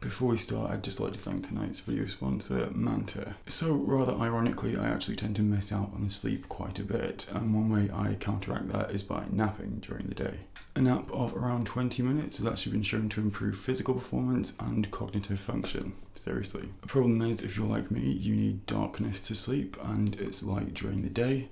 Before we start, I'd just like to thank tonight's video sponsor, Manta. So, rather ironically, I actually tend to miss out on sleep quite a bit, and one way I counteract that is by napping during the day. A nap of around 20 minutes has actually been shown to improve physical performance and cognitive function, seriously. The problem is, if you're like me, you need darkness to sleep, and it's light during the day.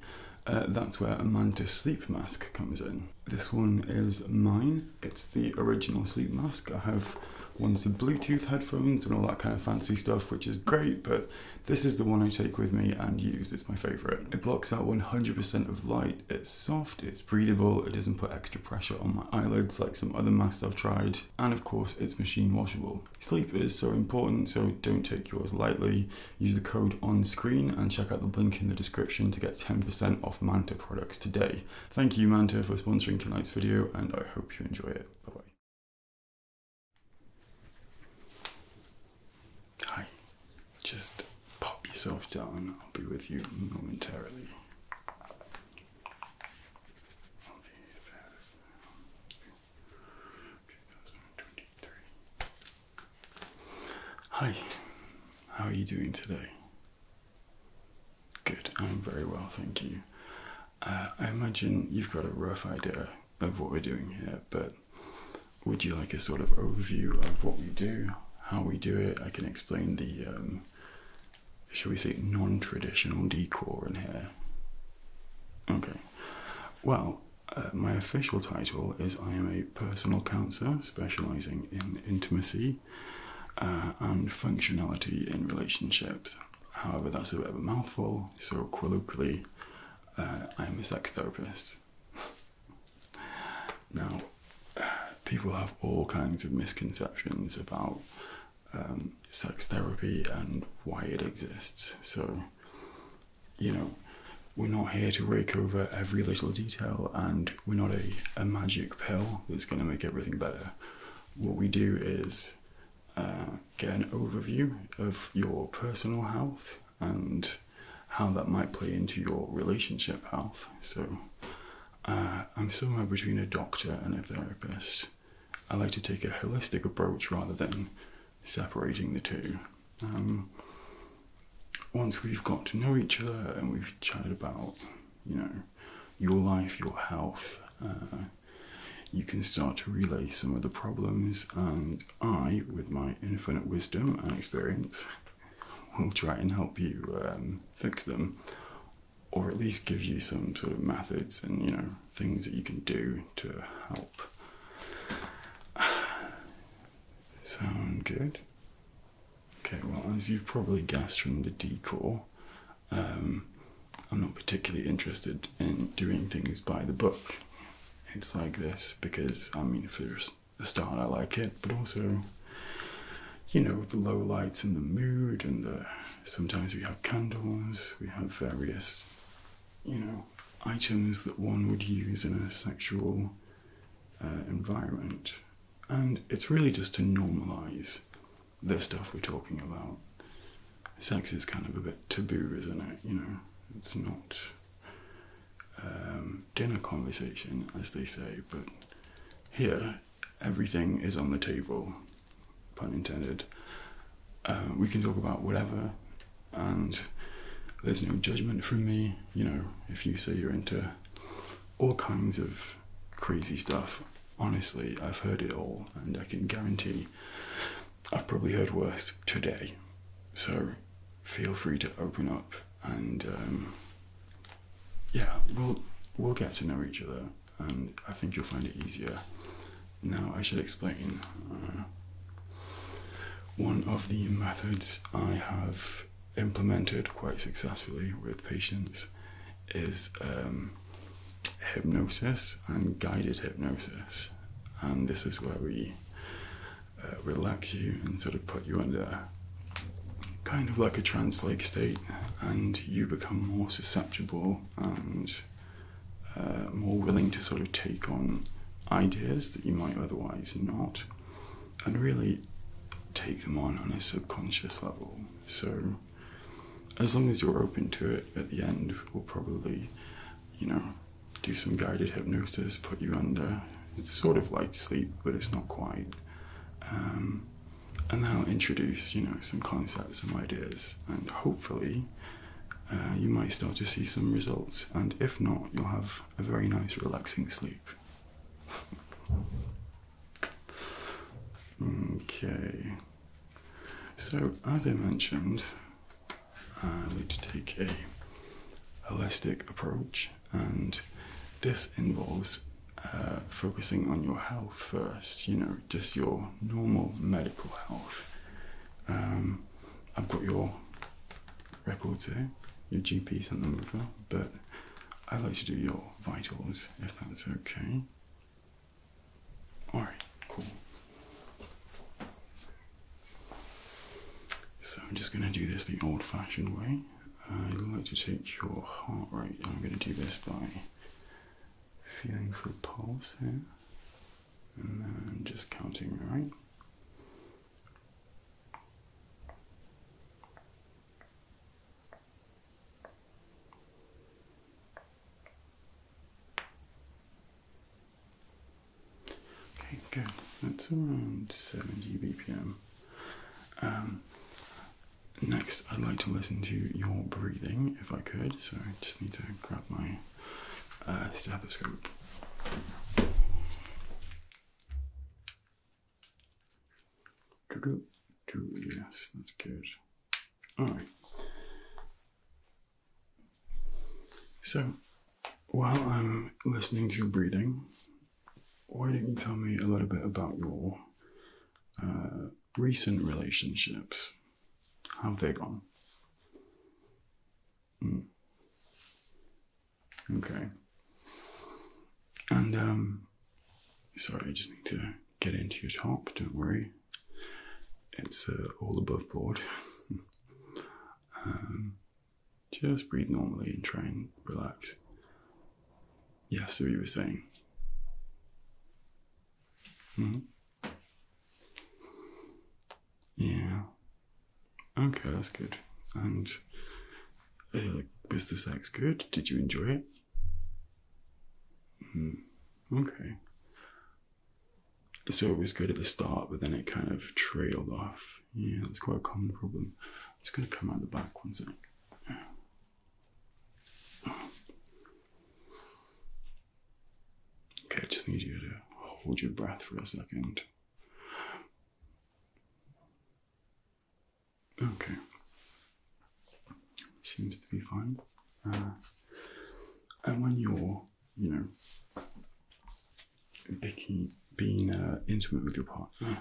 Uh, that's where a Manta sleep mask comes in. This one is mine. It's the original sleep mask. I have ones with Bluetooth headphones and all that kind of fancy stuff, which is great, but this is the one I take with me and use. It's my favorite. It blocks out 100% of light. It's soft, it's breathable, it doesn't put extra pressure on my eyelids like some other masks I've tried, and of course, it's machine washable. Sleep is so important, so don't take yours lightly. Use the code on screen and check out the link in the description to get 10% off Manta products today. Thank you Manta for sponsoring tonight's video and I hope you enjoy it. Bye bye. Hi, just pop yourself down. I'll be with you momentarily. Hi, how are you doing today? Good, I'm very well, thank you. Uh, I imagine you've got a rough idea of what we're doing here, but would you like a sort of overview of what we do, how we do it? I can explain the, um, shall we say, non traditional decor in here. Okay, well, uh, my official title is I am a personal counselor specializing in intimacy uh, and functionality in relationships. However, that's a bit of a mouthful, so colloquially, uh, I'm a sex therapist. now, uh, people have all kinds of misconceptions about um, sex therapy and why it exists. So, you know, we're not here to rake over every little detail and we're not a magic magic pill that's going to make everything better. What we do is uh, get an overview of your personal health and how that might play into your relationship health. So, uh, I'm somewhere between a doctor and a therapist. I like to take a holistic approach rather than separating the two. Um, once we've got to know each other and we've chatted about, you know, your life, your health, uh, you can start to relay some of the problems, and I, with my infinite wisdom and experience, will try and help you um, fix them, or at least give you some sort of methods and you know things that you can do to help. Sound good? Okay, well, as you've probably guessed from the decor, um, I'm not particularly interested in doing things by the book. It's like this because, I mean, for a start, I like it, but also, you know, the low lights and the mood, and the sometimes we have candles, we have various, you know, items that one would use in a sexual uh, environment. And it's really just to normalize the stuff we're talking about. Sex is kind of a bit taboo, isn't it? You know, it's not um, dinner conversation, as they say, but here everything is on the table, pun intended. Uh, we can talk about whatever, and there's no judgment from me. You know, if you say you're into all kinds of crazy stuff. Honestly, I've heard it all, and I can guarantee I've probably heard worse today. So feel free to open up, and um, yeah, we'll we'll get to know each other, and I think you'll find it easier. Now I should explain. Uh, one of the methods I have implemented quite successfully with patients is um, hypnosis and guided hypnosis. And this is where we uh, relax you and sort of put you under kind of like a trance like state, and you become more susceptible and uh, more willing to sort of take on ideas that you might otherwise not and really take them on on a subconscious level. So, as long as you're open to it, at the end, we'll probably, you know, do some guided hypnosis, put you under. It's sort of like sleep, but it's not quite. Um, and then I'll introduce, you know, some concepts, some ideas, and hopefully. Uh, you might start to see some results, and if not, you'll have a very nice, relaxing sleep. Okay, so as I mentioned, I need to take a holistic approach, and this involves uh, focusing on your health first, you know, just your normal medical health. Um, I've got your records here, your GP's sent but I'd like to do your vitals if that's okay. Alright, cool. So I'm just going to do this the old fashioned way. I'd like to take your heart rate. I'm going to do this by feeling for a pulse here and then just counting, right? Okay, good. That's around 70 BPM. Um, next, I'd like to listen to your breathing if I could, so I just need to grab my uh, stethoscope. Doo Yes, that's good. All right. So, while I'm listening to your breathing, why don't you tell me a little bit about your uh, recent relationships? How have they gone? Hmm. Okay. And, um, sorry, I just need to get into your top, don't worry. It's uh, all above board. um, just breathe normally and try and relax. Yeah, what you were saying. Mm hmm Yeah. Okay, that's good. And like, was the sex good? Did you enjoy it? Mm, okay. So it was good at the start, but then it kind of trailed off. Yeah, that's quite a common problem. I'm just gonna come out the back one sec. Okay, I just need you to hold your breath for a second. Okay. Seems to be fine. Uh, and when you're, you know, picking, being uh, intimate with your partner,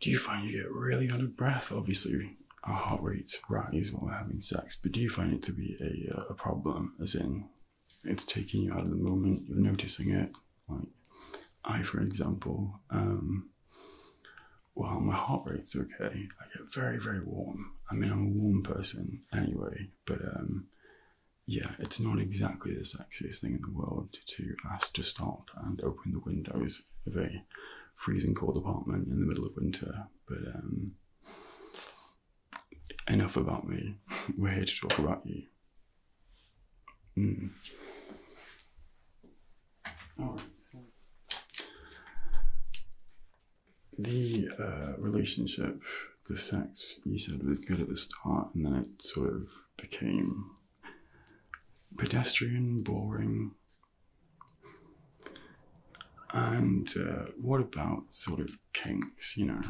do you find you get really out of breath? Obviously, our heart rates rise while we're having sex, but do you find it to be a, uh, a problem? As in, it's taking you out of the moment, you're noticing it, like I, for example, um, while my heart rate's okay, I get very, very warm. I mean, I'm a warm person anyway, but um, yeah, it's not exactly the sexiest thing in the world to ask to stop and open the windows of a freezing cold apartment in the middle of winter. But um, enough about me. We're here to talk about you. Mm. All right. So the uh, relationship, the sex, you said was good at the start, and then it sort of became pedestrian, boring. And uh, what about sort of kinks? You know,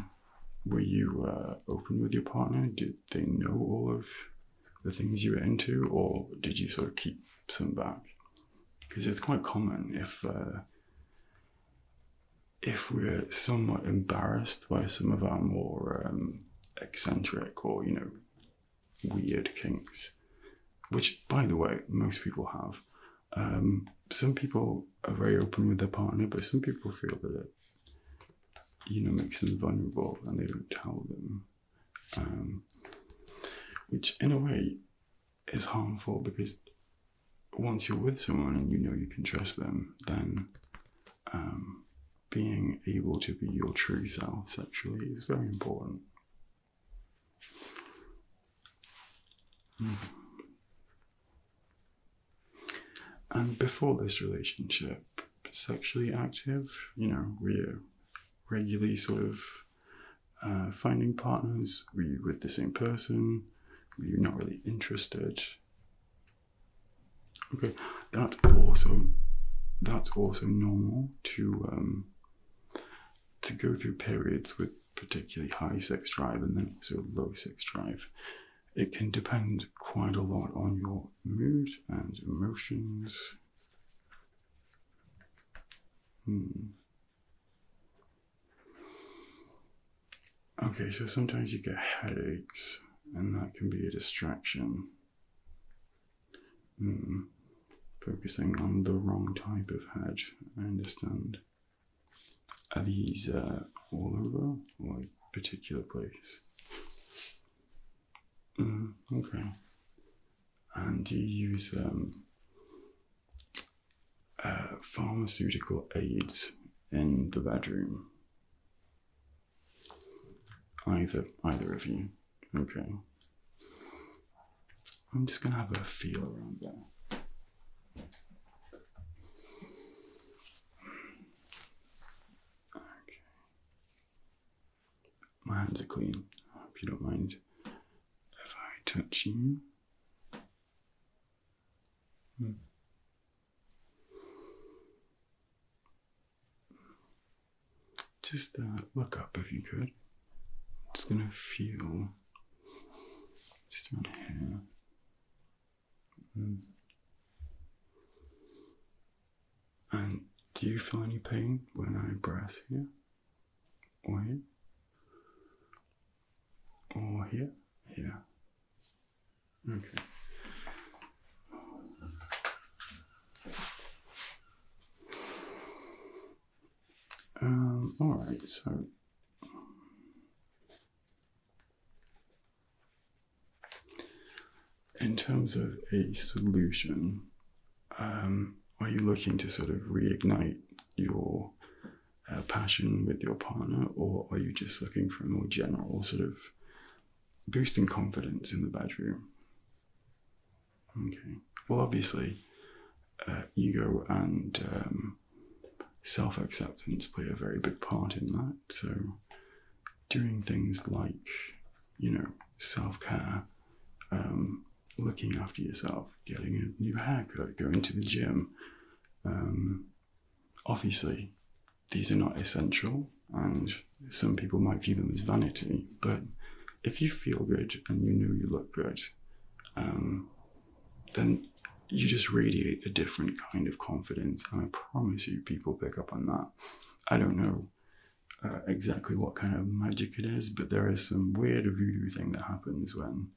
were you uh, open with your partner? Did they know all of the things you were into, or did you sort of keep some back? Because it's quite common if uh, if we're somewhat embarrassed by some of our more um, eccentric or you know weird kinks, which by the way most people have. Um, some people are very open with their partner, but some people feel that you know makes them vulnerable and they don't tell them um, which in a way is harmful because once you're with someone and you know you can trust them then um, being able to be your true self actually is very important hmm. and before this relationship sexually active. You know, we're regularly sort of uh, finding partners. We with the same person. We're not really interested. Okay, that's also that's also normal to um, to go through periods with particularly high sex drive and then also low sex drive. It can depend quite a lot on your mood and emotions. Hmm. Okay, so sometimes you get headaches, and that can be a distraction. Hmm. Focusing on the wrong type of head, I understand. Are these uh, all over, or a particular place? Mm, okay. And do you use um, uh, pharmaceutical aids in the bedroom? Either, either of you. Okay. I'm just gonna have a feel around there. Okay. My hands are clean. I hope you don't mind if I touch you. Hmm. Just uh, look up if you could. It's gonna feel just around here. Hmm. And do you feel any pain when I breathe here? Or here? Or here? Here. Okay. Um, alright, so in terms of a solution, um, are you looking to sort of reignite your uh, passion with your partner, or are you just looking for a more general sort of boosting confidence in the bedroom? Okay. Well, obviously, uh, ego and um, self acceptance play a very big part in that. So, doing things like you know, self care, um, looking after yourself, getting a new haircut, going to the gym. Um, obviously, these are not essential, and some people might view them as vanity, but if you feel good and you know you look good, um, then you just radiate a different kind of confidence. And I promise you, people pick up on that. I don't know uh, exactly what kind of magic it is, but there is some weird voodoo thing that happens when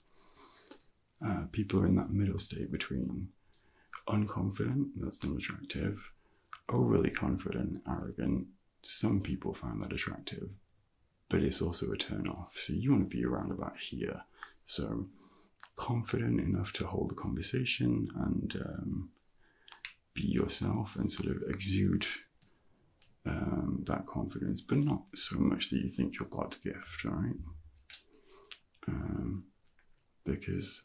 uh, people are in that middle state between unconfident, that's not attractive, overly confident, arrogant. Some people find that attractive, but it's also a turn off. So you want to be around about here. So confident enough to hold the conversation and um, be yourself and sort of exude um, that confidence, but not so much that you think you're God's gift, all right? Um, because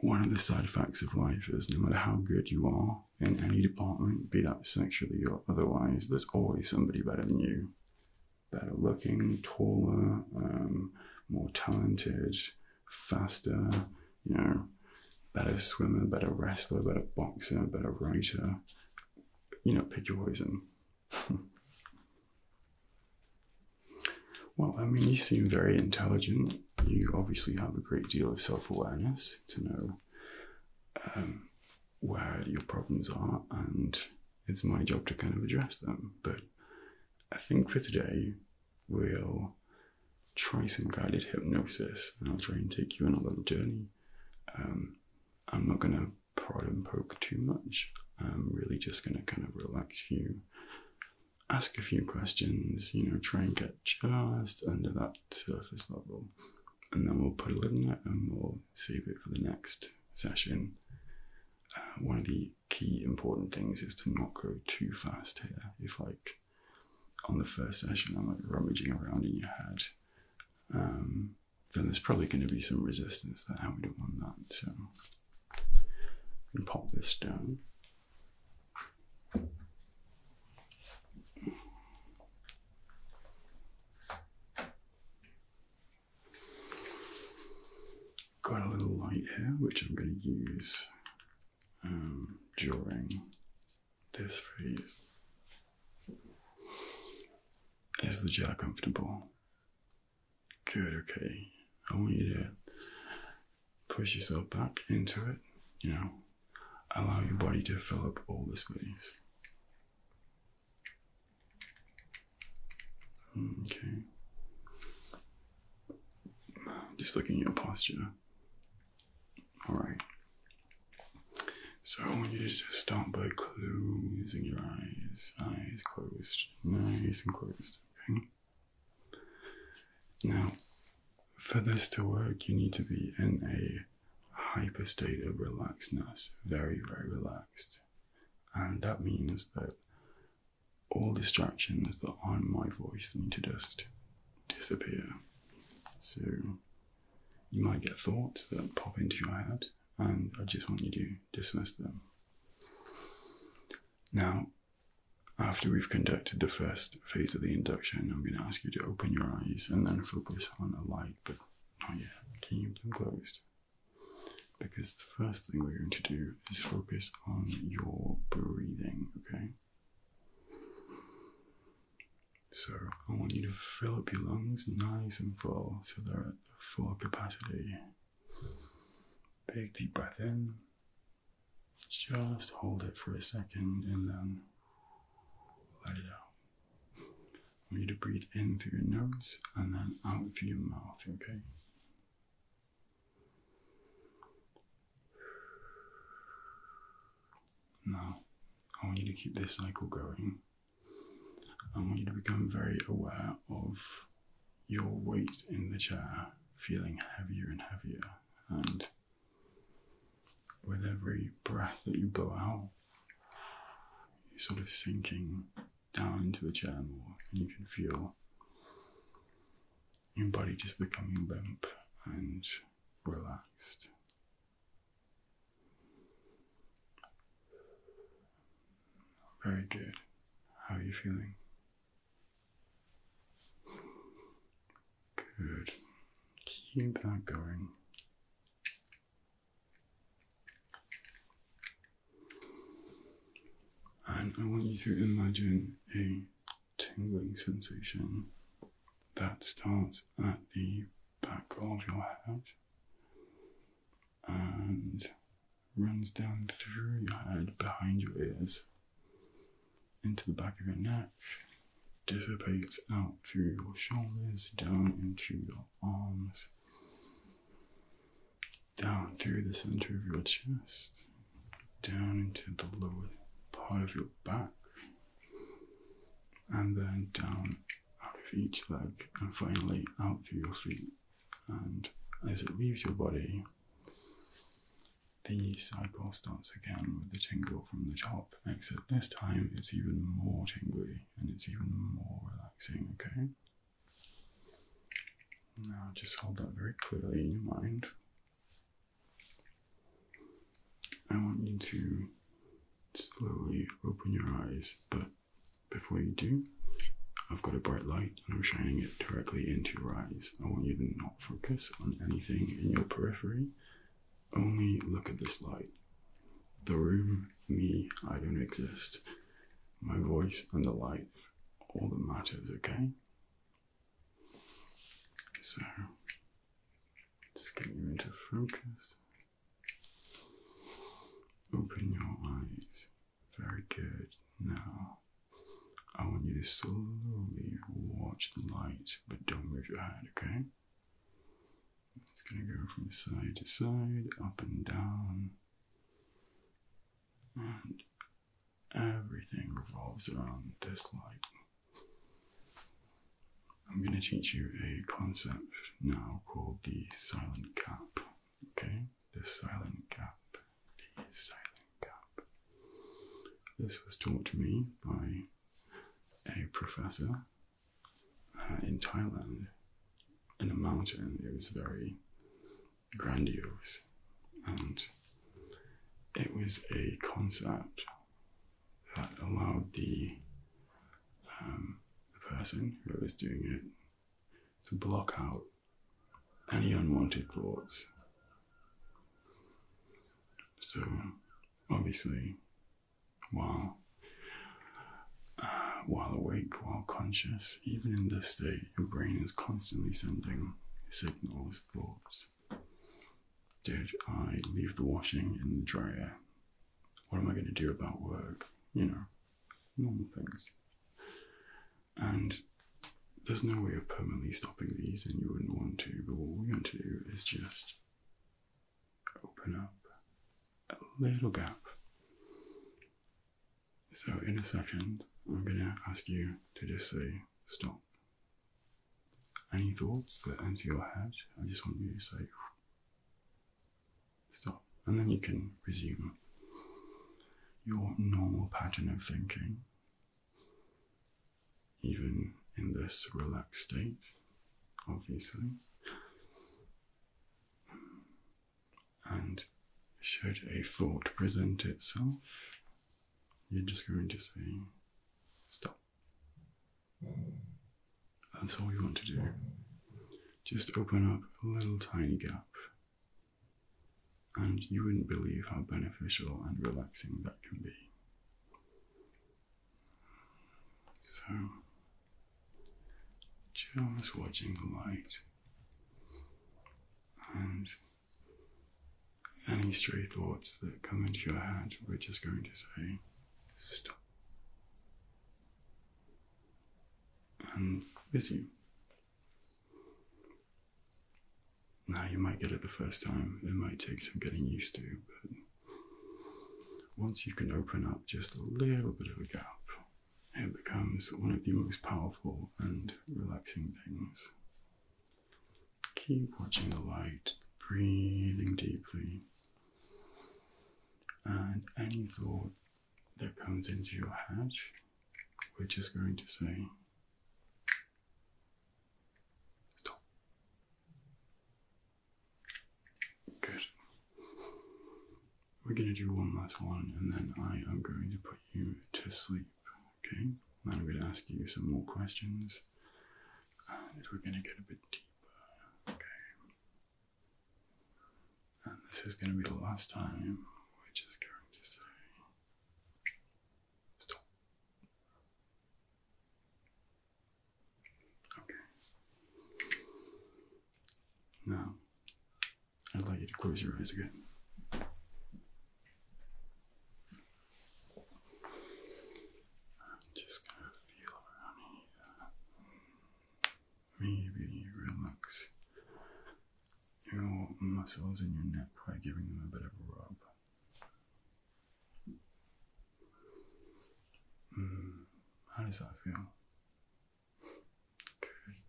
one of the side effects of life is no matter how good you are in any department, be that sexually or otherwise, there's always somebody better than you. Better looking, taller, um, more talented, faster, you know, better swimmer, better wrestler, better boxer, better writer. You know, pick your poison. well, I mean, you seem very intelligent. You obviously have a great deal of self awareness to know um, where your problems are, and it's my job to kind of address them. But I think for today, we'll try some guided hypnosis and I'll try and take you on a little journey. Um, I'm not going to prod and poke too much. I'm really just going to kind of relax you, ask a few questions, you know, try and get just under that surface level. And then we'll put a lid on it and we'll save it for the next session. Uh, one of the key important things is to not go too fast here. If like on the first session I'm like rummaging around in your head, um, then there's probably going to be some resistance That and we don't want that. So I'm pop this down. Got a little light here, which I'm going to use um, during this phase. Is the chair comfortable? Good, okay. I want you to push yourself back into it, you know, allow your body to fill up all the space. Okay. Just looking at your posture. Alright. So I want you to just start by closing your eyes. Eyes closed. Nice and closed. Okay. Now, for this to work, you need to be in a hyper state of relaxedness, very, very relaxed. And that means that all distractions that aren't my voice need to just disappear. So you might get thoughts that pop into your head, and I just want you to dismiss them. Now, after we've conducted the first phase of the induction, I'm going to ask you to open your eyes and then focus on a light, but not yet. Kept and closed. Because the first thing we're going to do do is focus on your breathing, okay? So I want you to fill up your lungs nice and full so they're at full capacity. Big deep breath in. Just hold it for a second and then let it out. I want you to breathe in through your nose and then out through your mouth, okay? Now, I want you to keep this cycle going. I want you to become very aware of your weight in the chair feeling heavier and heavier, and with every breath that you blow out, you're sort of sinking down into the chair more, and you can feel your body just becoming limp and relaxed. Very good. How are you feeling? Good. Keep that going. And I want you to imagine a tingling sensation that starts at the back of your head and runs down through your head behind your ears into the back of your neck, dissipates out through your shoulders, down into your arms, down through the center of your chest, down into the lower part of your back and then down out of each leg and finally out through your feet. And as it leaves your body, the cycle starts again with the tingle from the top, except this time it's even more tingly and it's even more relaxing, okay? Now just hold that very clearly in your mind I want you to slowly open your eyes, but before you do, I've got a bright light and I'm shining it directly into your eyes. I want you to not focus on anything in your periphery, only look at this light. The room, me, I don't exist. My voice and the light, all that matters, okay? So, just get you into focus. Open your eyes. Very good. Now, I want you to slowly watch the light, but don't move your head, okay? It's going to go from side to side, up and down. And Everything revolves around this light. I'm going to teach you a concept now called the silent gap. Okay? The silent gap. The silent gap. This was taught to me by a professor uh, in Thailand in a mountain. It was very grandiose. And it was a concept that allowed um, the, person who was doing it to block out any unwanted thoughts. So, obviously, while uh, while awake, while conscious, even in this state, your brain is constantly sending signals these Did I leave the washing in the dryer? What am I going to do about work? You know, normal things. And there's no way of permanently stopping these, and you wouldn't want to, but all we're going to do is just open up a little gap. So, in a second, I'm going to ask you to just say stop. Any thoughts that enter your head, I just want you to say stop, and then you can resume your normal pattern of thinking. Even in this relaxed state, obviously. And should a thought present itself, you're just going to say stop. That's all you want to do. Just open up a little tiny gap. And you wouldn't believe how beneficial and relaxing that can be. So, just watching the light and any stray thoughts that come into your head, we're just going to say, stop. And with you. Now you might get it the first time, it might take some getting used to, but once you can open up just a little bit of a gap, it becomes one of the most powerful and relaxing things Keep watching the light, breathing deeply. And any thought that comes into your head, we're just going to say, Stop. Good. We're going to do one last one, and then I am going to put you to sleep. Okay, now we am going to ask you some more questions and we're going to get a bit deeper. Okay, and this is going to be the last time we're just going to say stop. Okay, now I'd like you to close your eyes again. I'm just gonna feel around here. Maybe relax your muscles in your neck by giving them a bit of a rub. Hmm, how does that feel? Good.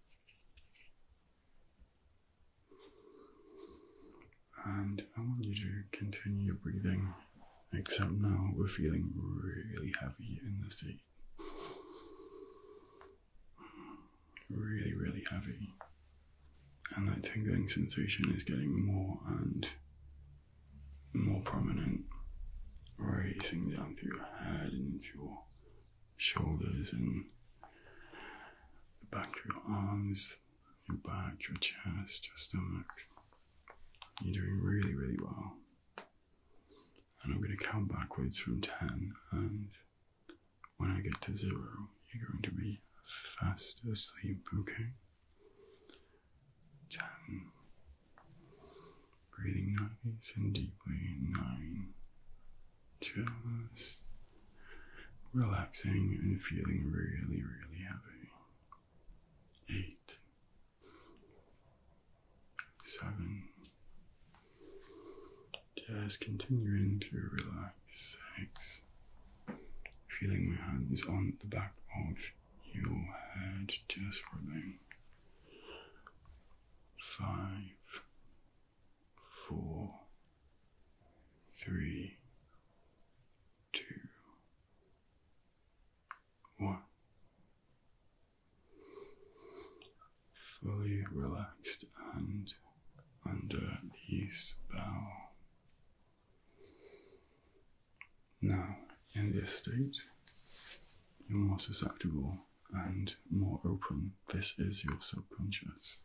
And I want you to continue your breathing, except now we're feeling really heavy in the seat. Really, really heavy. And that tingling sensation is getting more and more prominent, racing down through your head and into your shoulders and back of your arms, your back, your chest, your stomach. You're doing really, really well. And I'm going to count backwards from 10, and when I get to zero, you're going to be fast asleep, okay? 10. Breathing nice and deeply. 9 just relaxing and feeling really, really happy. Eight, seven, just continuing to relax. Six, feeling my hands on the back of your head, just rubbing. Five, four, three, two, one. Fully relaxed and under the spell. Now, in this state, you're more susceptible and more open. This is your subconscious.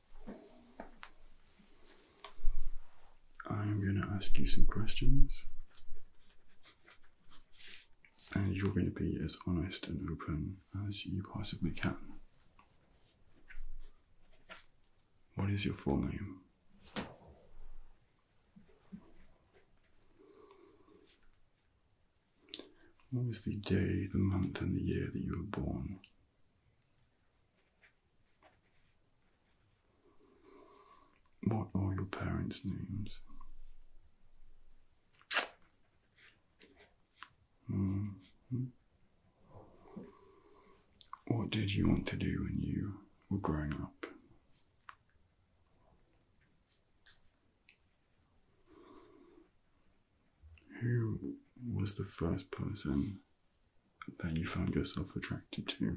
I'm going to ask you some questions, and you're going to be as honest and open as you possibly can. What is your full name? What is the day, the month, and the year that you were born? What are your parents' names? Mm-hmm. What did you want to do when you were growing up? Who was the first person that you found yourself attracted to?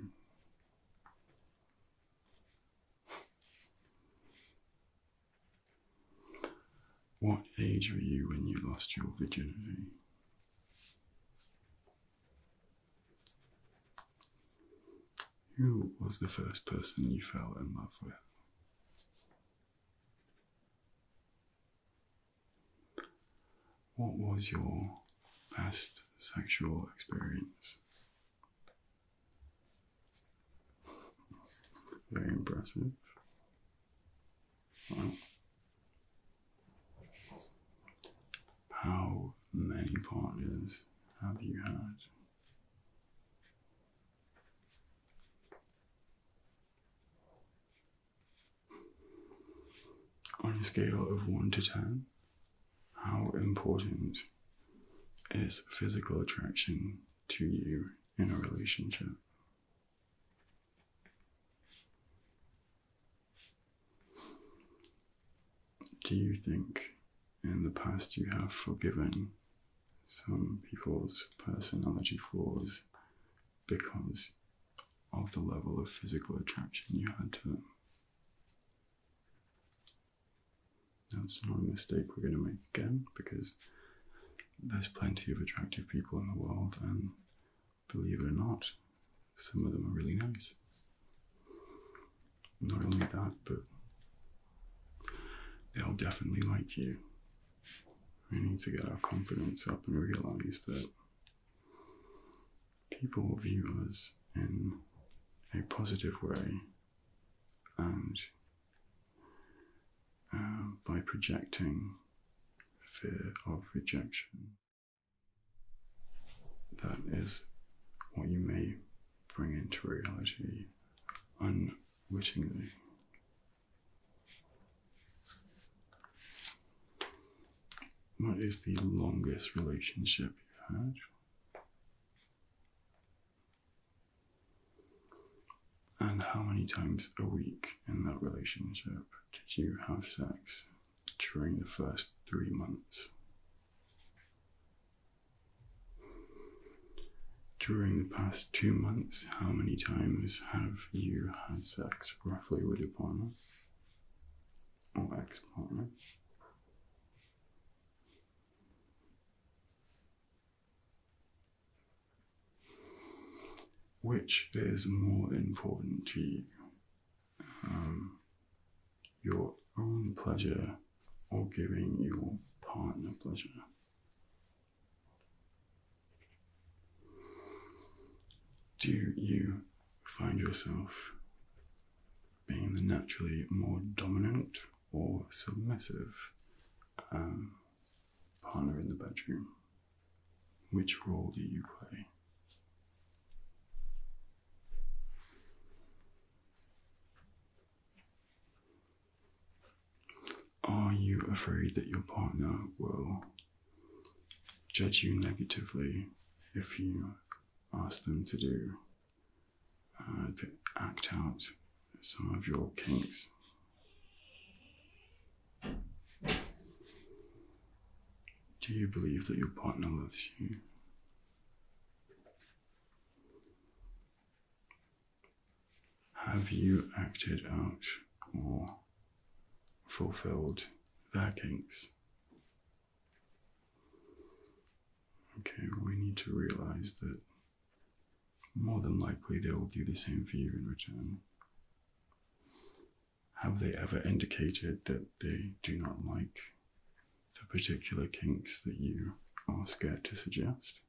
What age were you when you lost your virginity? Who was the first person you fell in love with? What was your best sexual experience? Very impressive. How many partners have you had? On a scale of 1 to 10, how important is physical attraction to you in a relationship? Do you think in the past you have forgiven some people's personality flaws because of the level of physical attraction you had to them. That's not a mistake we're going to make again because there's plenty of attractive people in the world, and believe it or not, some of them are really nice. Not only that, but they'll definitely like you we need to get our confidence up and realize that people view us in a positive way and uh, by projecting fear of rejection. That is what you may bring into reality unwittingly. What is the longest relationship you've had? And how many times a week in that relationship did you have sex during the first three months? During the past two months, how many times have you had sex roughly with your partner or x partner. Which is more important to you? Um, your own pleasure or giving your partner pleasure? Do you find yourself being the naturally more dominant or submissive um, partner in the bedroom? Which role do you play? Are you afraid that your partner will judge you negatively if you ask them to do, uh, to act out some of your kinks. Do you believe that your partner loves you? Have you acted out or fulfilled their kinks. Okay, we need to realize that more than likely they will do the same for you in return. Have they ever indicated that they do not like the particular kinks that you are scared to suggest?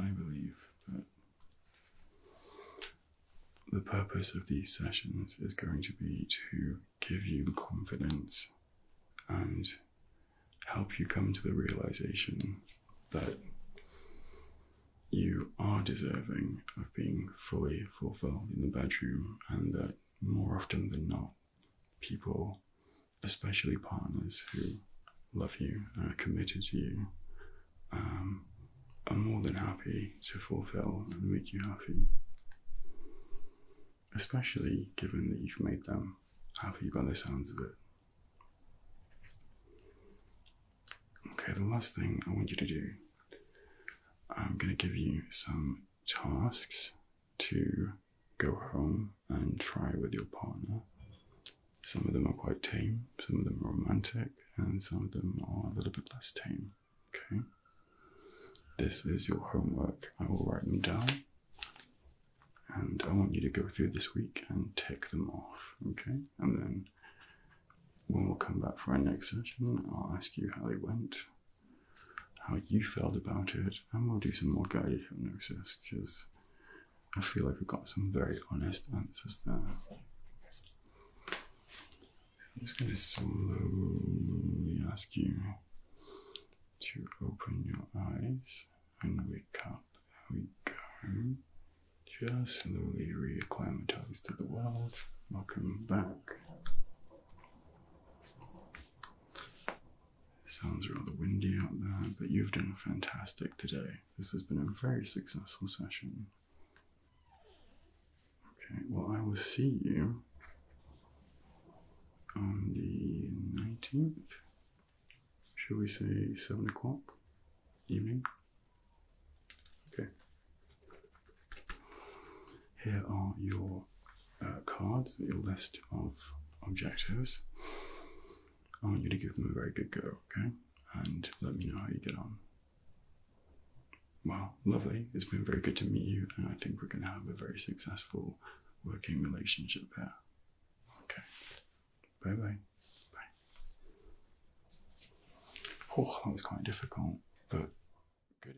I believe that the purpose of these sessions is going to be to give you confidence and help you come to the realization that you are deserving of being fully fulfilled in the bedroom and that more often than not, people, especially partners who love you and are committed to you, um, are more than happy to fulfill and make you happy. Especially given that you've made them happy by the sounds of it. Okay, the last thing I want you to do, I'm going to give you some tasks to go home and try with your partner. Some of them are quite tame, some of them are romantic, and some of them are a little bit less tame. Okay? This is your homework. I will write them down. And I want you to go through this week and tick them off, okay? And then when we'll come back for our next session, I'll ask you how they went how you felt about it, and we'll do some more guided hypnosis because I feel like we've got some very honest answers there. I'm just going to slowly ask you to open your eyes and wake up. There we go. Just slowly reacclimatize to the world. Welcome back. It sounds rather windy out there, but you've done fantastic today. This has been a very successful session. Okay, well, I will see you on the 19th. Shall we say 7 o'clock evening? Okay. Here are your uh, cards, your list of objectives. I want you to give them a very good go, okay? And let me know how you get on. Well, lovely. It's been very good to meet you, and I think we're going to have a very successful working relationship here. Okay. Bye bye. Bye. Oh, that was quite difficult, but good.